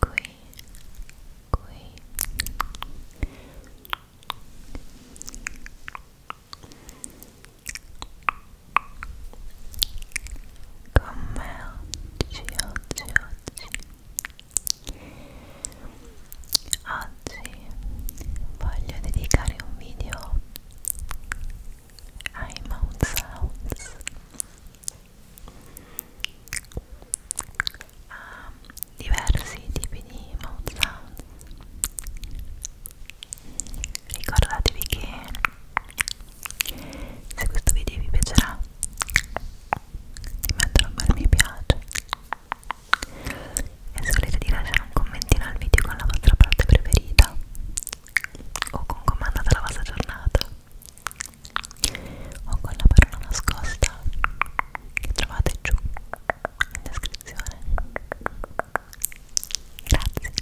Kui, kui. Kom wel, chill, chill, Oggi voglio dedicare un video ai mouth sounds ha ehm, diversi tipi di mouth sound ricordatevi che se questo video vi piacerà di mettere un bel mi piace e se volete di lasciare un commentino al video con la vostra parte preferita o con comandata la vostra giornata o con la parola nascosta che trovate giù in descrizione grazie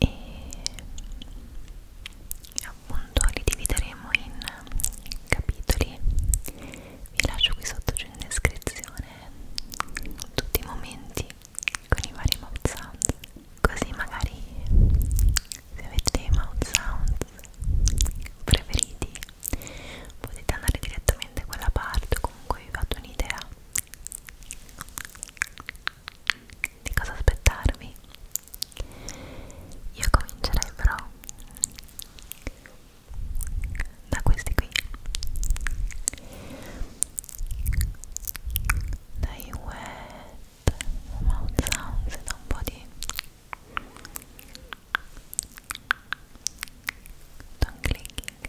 e appunto li divideremo in capitoli vi lascio qui sotto giù in descrizione tutti i momenti con i vari mouth sound così magari se avete dei mouth sound preferiti potete andare direttamente a quella parte o comunque vi fate un'idea di cosa aspettarvi io comincerei però da questi qui dai wet mouth sounds da un po' di tongue clicking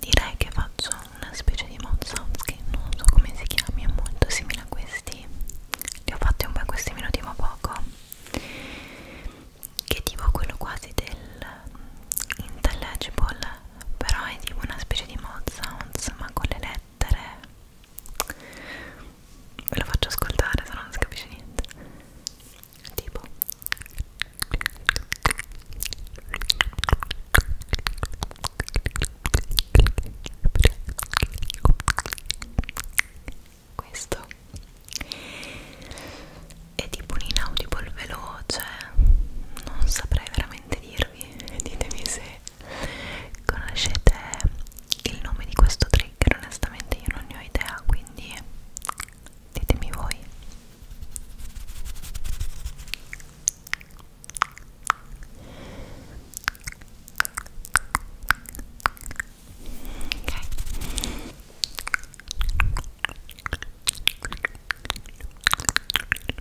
Direi che faccio una specie di mozzops che non so come si chiami, è molto simile a questi. Li ho fatti un po' questi minuti ma poco. Che tipo quello quasi del mm, intelligible, però è tipo una specie di mozzops ma con le lettere ve lo faccio ascoltare se no non si capisce niente tipo questo è tipo un inaudible veloce non saprei veramente dirvi ditemi se se conoscete il nome di questo trigger onestamente io non ne ho idea quindi ditemi voi ok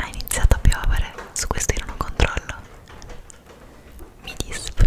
Ha iniziato a piovere, su questo io non ho controllo. Mi disp.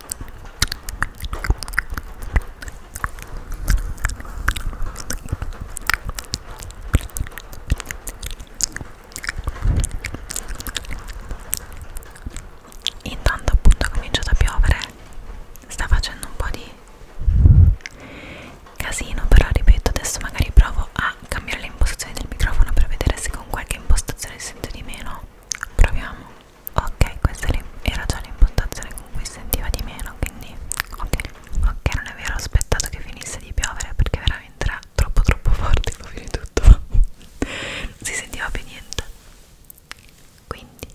Intanto appunto è cominciato a piovere, sta facendo un po' di casino, però ripeto adesso magari provo a cambiare le impostazioni del microfono per vedere se con qualche impostazione sento di meno. Proviamo ok questa era già l'impostazione con cui sentiva di meno quindi ok ok non è vero ho aspettato che finisse di piovere perché veramente era troppo troppo forte poi tutto si sentiva più niente quindi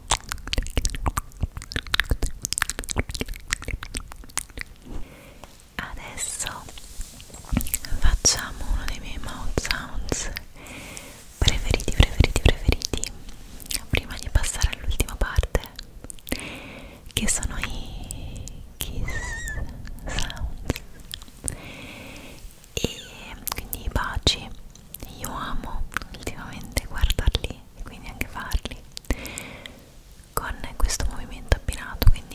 Adesso facciamo uno dei miei mouth sounds preferiti, preferiti, preferiti prima di passare all'ultima parte che sono i kiss sounds e quindi baci io amo ultimamente guardarli e quindi anche farli con questo movimento abbinato quindi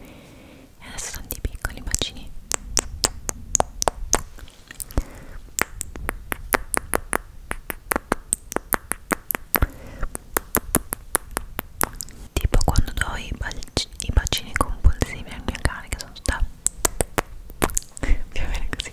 e adesso tanti piccoli bacini tipo quando do i, i bacini compulsivi al mio cane che sono tutta più o meno così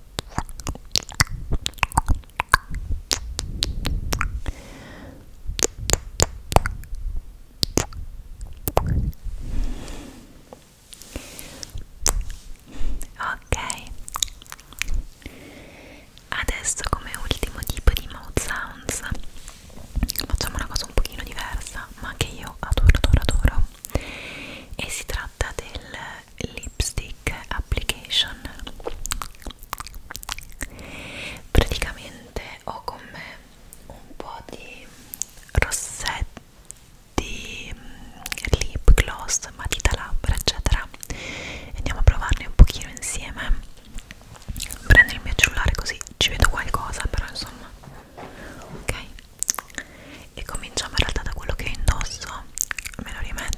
Ok, adesso come ultimo tipo di mouth sounds facciamo una cosa un pochino diversa ma che io adoro adoro adoro e si tratta del lipstick application praticamente ho con me un po' di rossetti mm, lip gloss matita labbra eccetera andiamo a provarne un pochino insieme prendo il mio cellulare così ci vedo qualcosa però insomma ok e cominciamo in realtà da quello che indosso me lo rimetto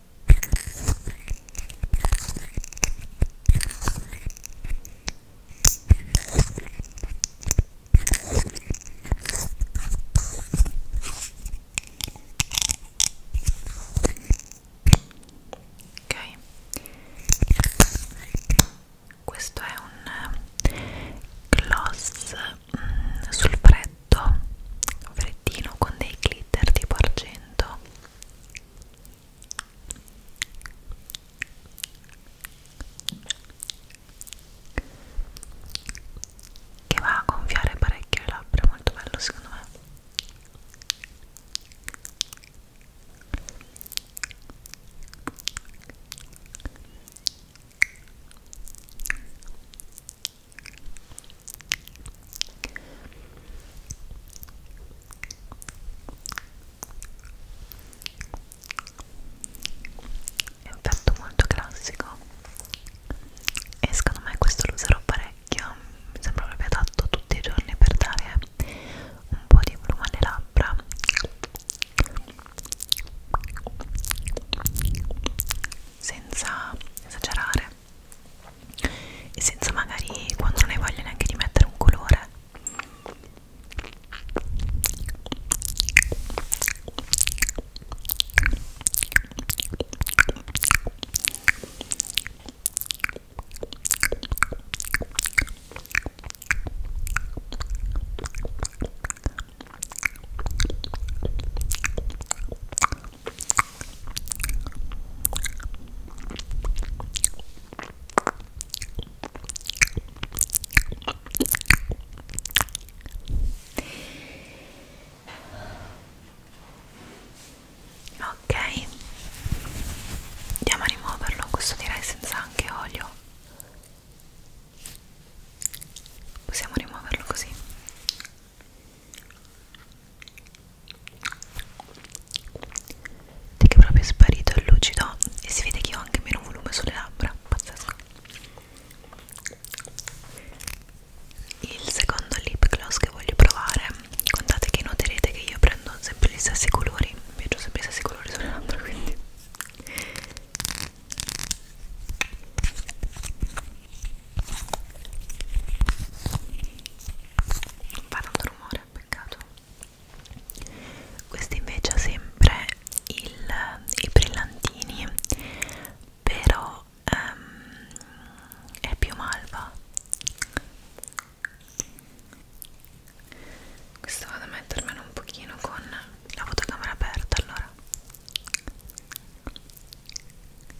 Ok, questo è un eh, gloss mm, sul freddo freddo freddino con dei glitter tipo argento che va a gonfiare parecchio le labbra, molto bello secondo me è un piatto molto classico e secondo me questo lo userò parecchio mi sembra proprio adatto tutti i giorni per dare un po' di pluma alle labbra senza esagerare e senza magari quando non hai voglia neanche di mettere un colore Ok, andiamo a rimuoverlo, questo direi senza anche olio. Possiamo rimuoverlo così. Vedi che è proprio sparito, è lucido e si vede che ho anche meno volume sulle labbra, pazzesco. Il secondo lip gloss che voglio provare, contate che noterete che io prendo sempre gli stessi colori, mi piacciono sempre gli stessi colori sulle labbra, quindi non fa tanto rumore, peccato questo invece ha sempre il, i brillantini però um, è più malva questo vado a mettermelo un pochino con la fotocamera aperta allora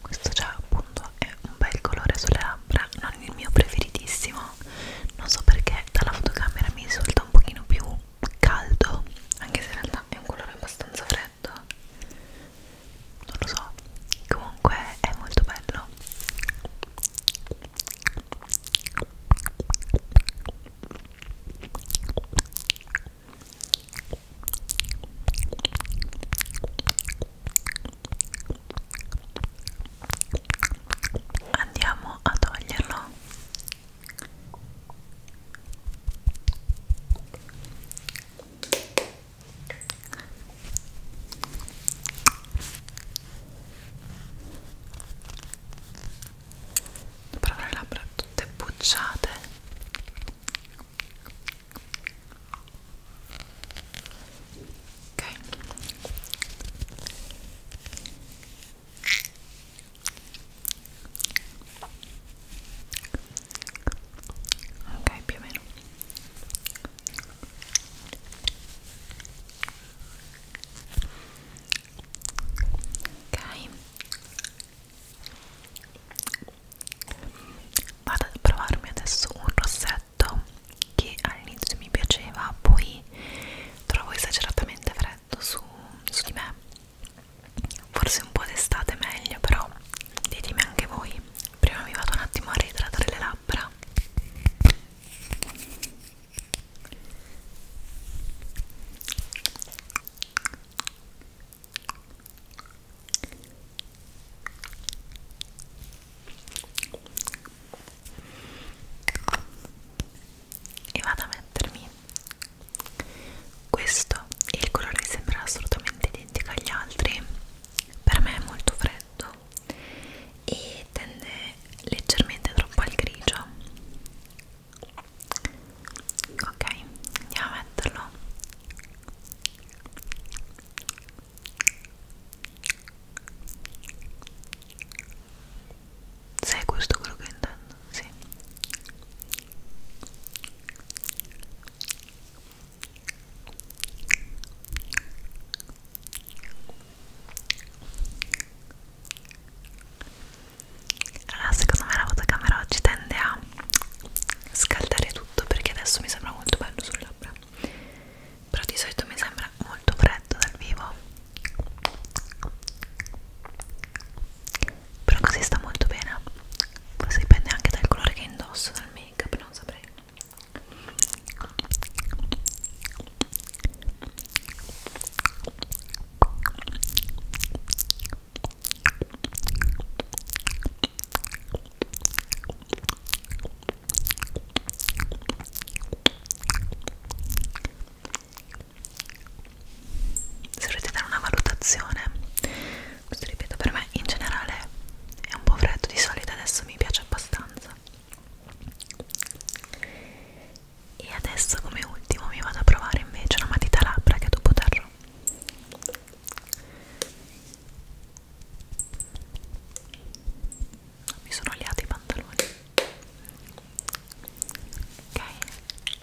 questo già appunto è un bel colore sulle labbra non il mio preferitissimo non so perché dalla fotocamera mi risulta un pochino più caldo anche se in realtà è un colore abbastanza freddo facendo non lo so comunque è molto bello andiamo a toglierlo per avere le labbra tutte bucciate ok ok più o meno ok vado a provarmi adesso un rossetto che all'inizio mi piaceva poi trovo esageratamente freddo su, su di me forse un po' d'estate è meglio però ditemi anche voi prima mi vado un attimo a ritratare le labbra e vado a mettermi questo il colore sembra assolutamente identico agli altri per me è molto freddo e tende leggermente troppo al grigio ok andiamo a metterlo sai questo quello che intendo sì allora secondo me la fotocamera oggi tende a scaldare tutto perché adesso mi sembra molto bello sulle labbra però di solito mi sembra molto freddo dal vivo però così sta molto bene forse dipende anche dal colore che indosso dal make up non saprei se volete dare una valutazione questo ripeto per me in generale è un po' freddo di solito adesso mi piace abbastanza e adesso come ultimo mi vado a provare invece una matita labbra che dopo terrò mi sono liati i pantaloni ok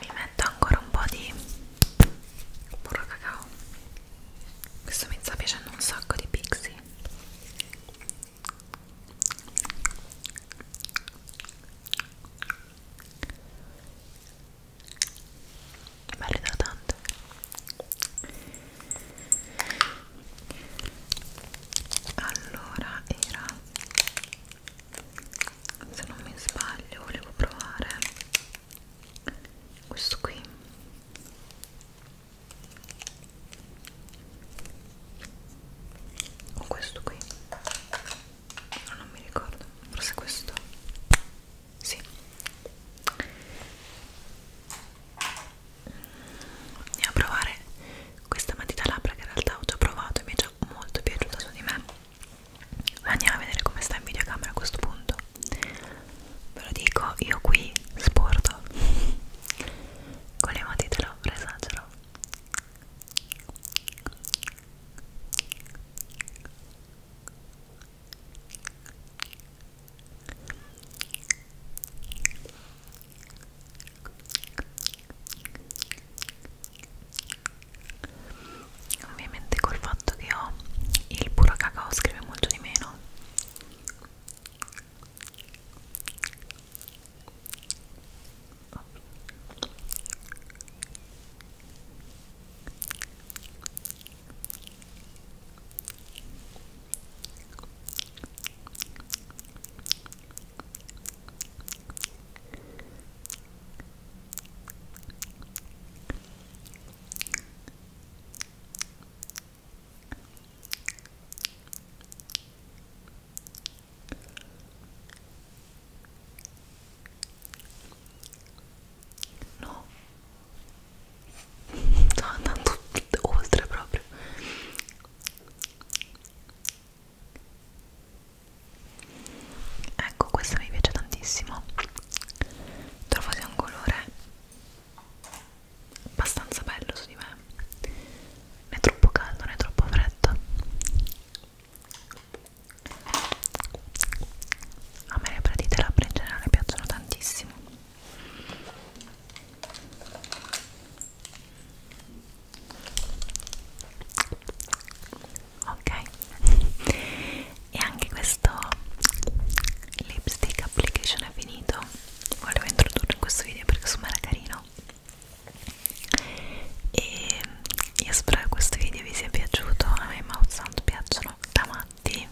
mi metto ancora un po' di burro cacao questo mi sta piacendo un sacco di pixie bello idratante allora era se non mi sbaglio volevo provare questo qui o questo qui no, non mi ricordo forse questo sì andiamo a provare questa matita labbra che in realtà ho già provato e mi è già molto piaciuta su di me andiamo a vedere come sta in videocamera a questo punto ve lo dico io qui sporto con le matitelo presagero ovviamente col fatto che ho il puro cacao scrive molto di meno No, sto andando oltre proprio ecco questa mi piace tantissimo trovo sia un colore abbastanza bello su di me non è troppo caldo, non è troppo freddo a me le pratite e labbra in generale piacciono tantissimo ok e anche questo lipstick application è finito volevo introdurre in questo video perché insomma era carino e io spero che questo video vi sia piaciuto a me i mouth sound piacciono da matti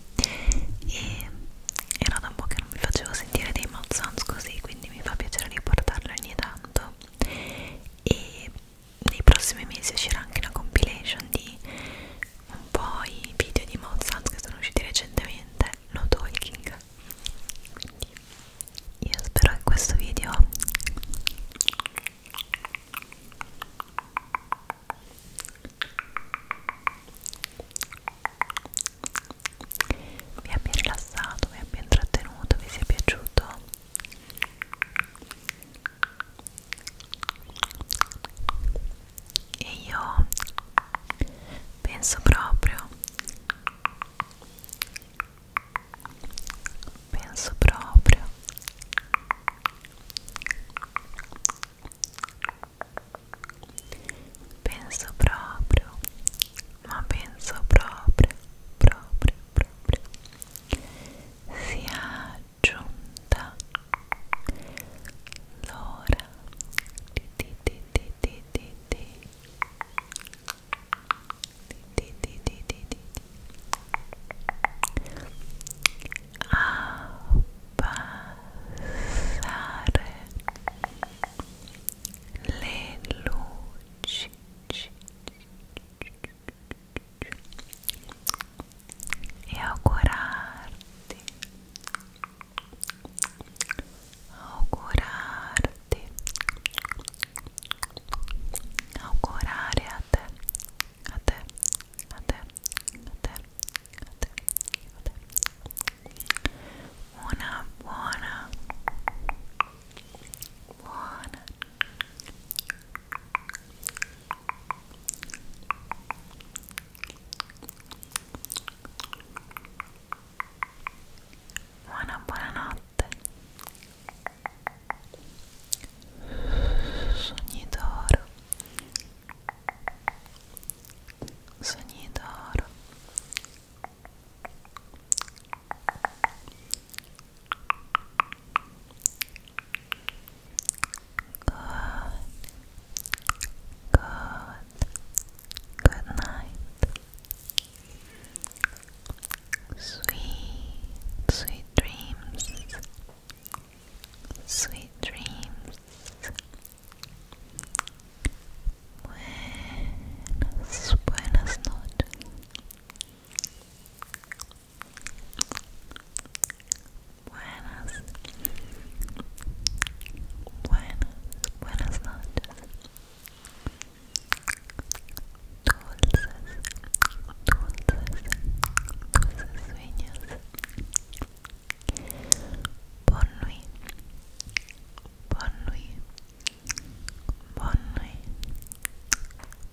e era da un po' che non vi facevo sentire dei mouth sounds così quindi mi fa piacere riportarlo ogni tanto e nei prossimi mesi uscirà anche una compilation di un po' i video di Mozart che sono usciti recentemente no talking quindi io spero che questo video vi abbia rilassato, vi abbia intrattenuto, vi sia piaciuto e io penso proprio penso proprio penso proprio ma penso proprio proprio proprio sia giunta l'ora di di di di di di di di di di di di abbassare le luci e augurarti augurarti augurare a te a te a te a te a te a te una buona buona buona buonanotte sogni d'oro sogni d'oro Good. Good night. Sweet, sweet dreams. Sweet dreams. buenas noches. Buenas, buenas, buenas noches. Dulces, dulces, dulces sueños. Bonne nuit, nuit, Bonne nuit.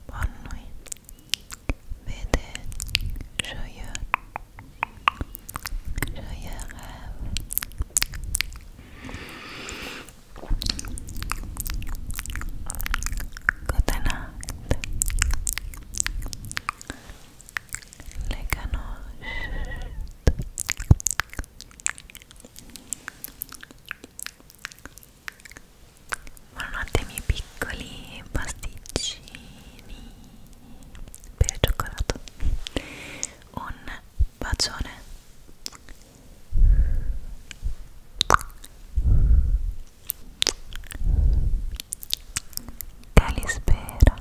Bonne nuit. Vete joyeux. Joyeux rêve. Good night. Les canons. Buonanotte miei piccoli pasticcini per cioccolato. Un bacione. Calispera.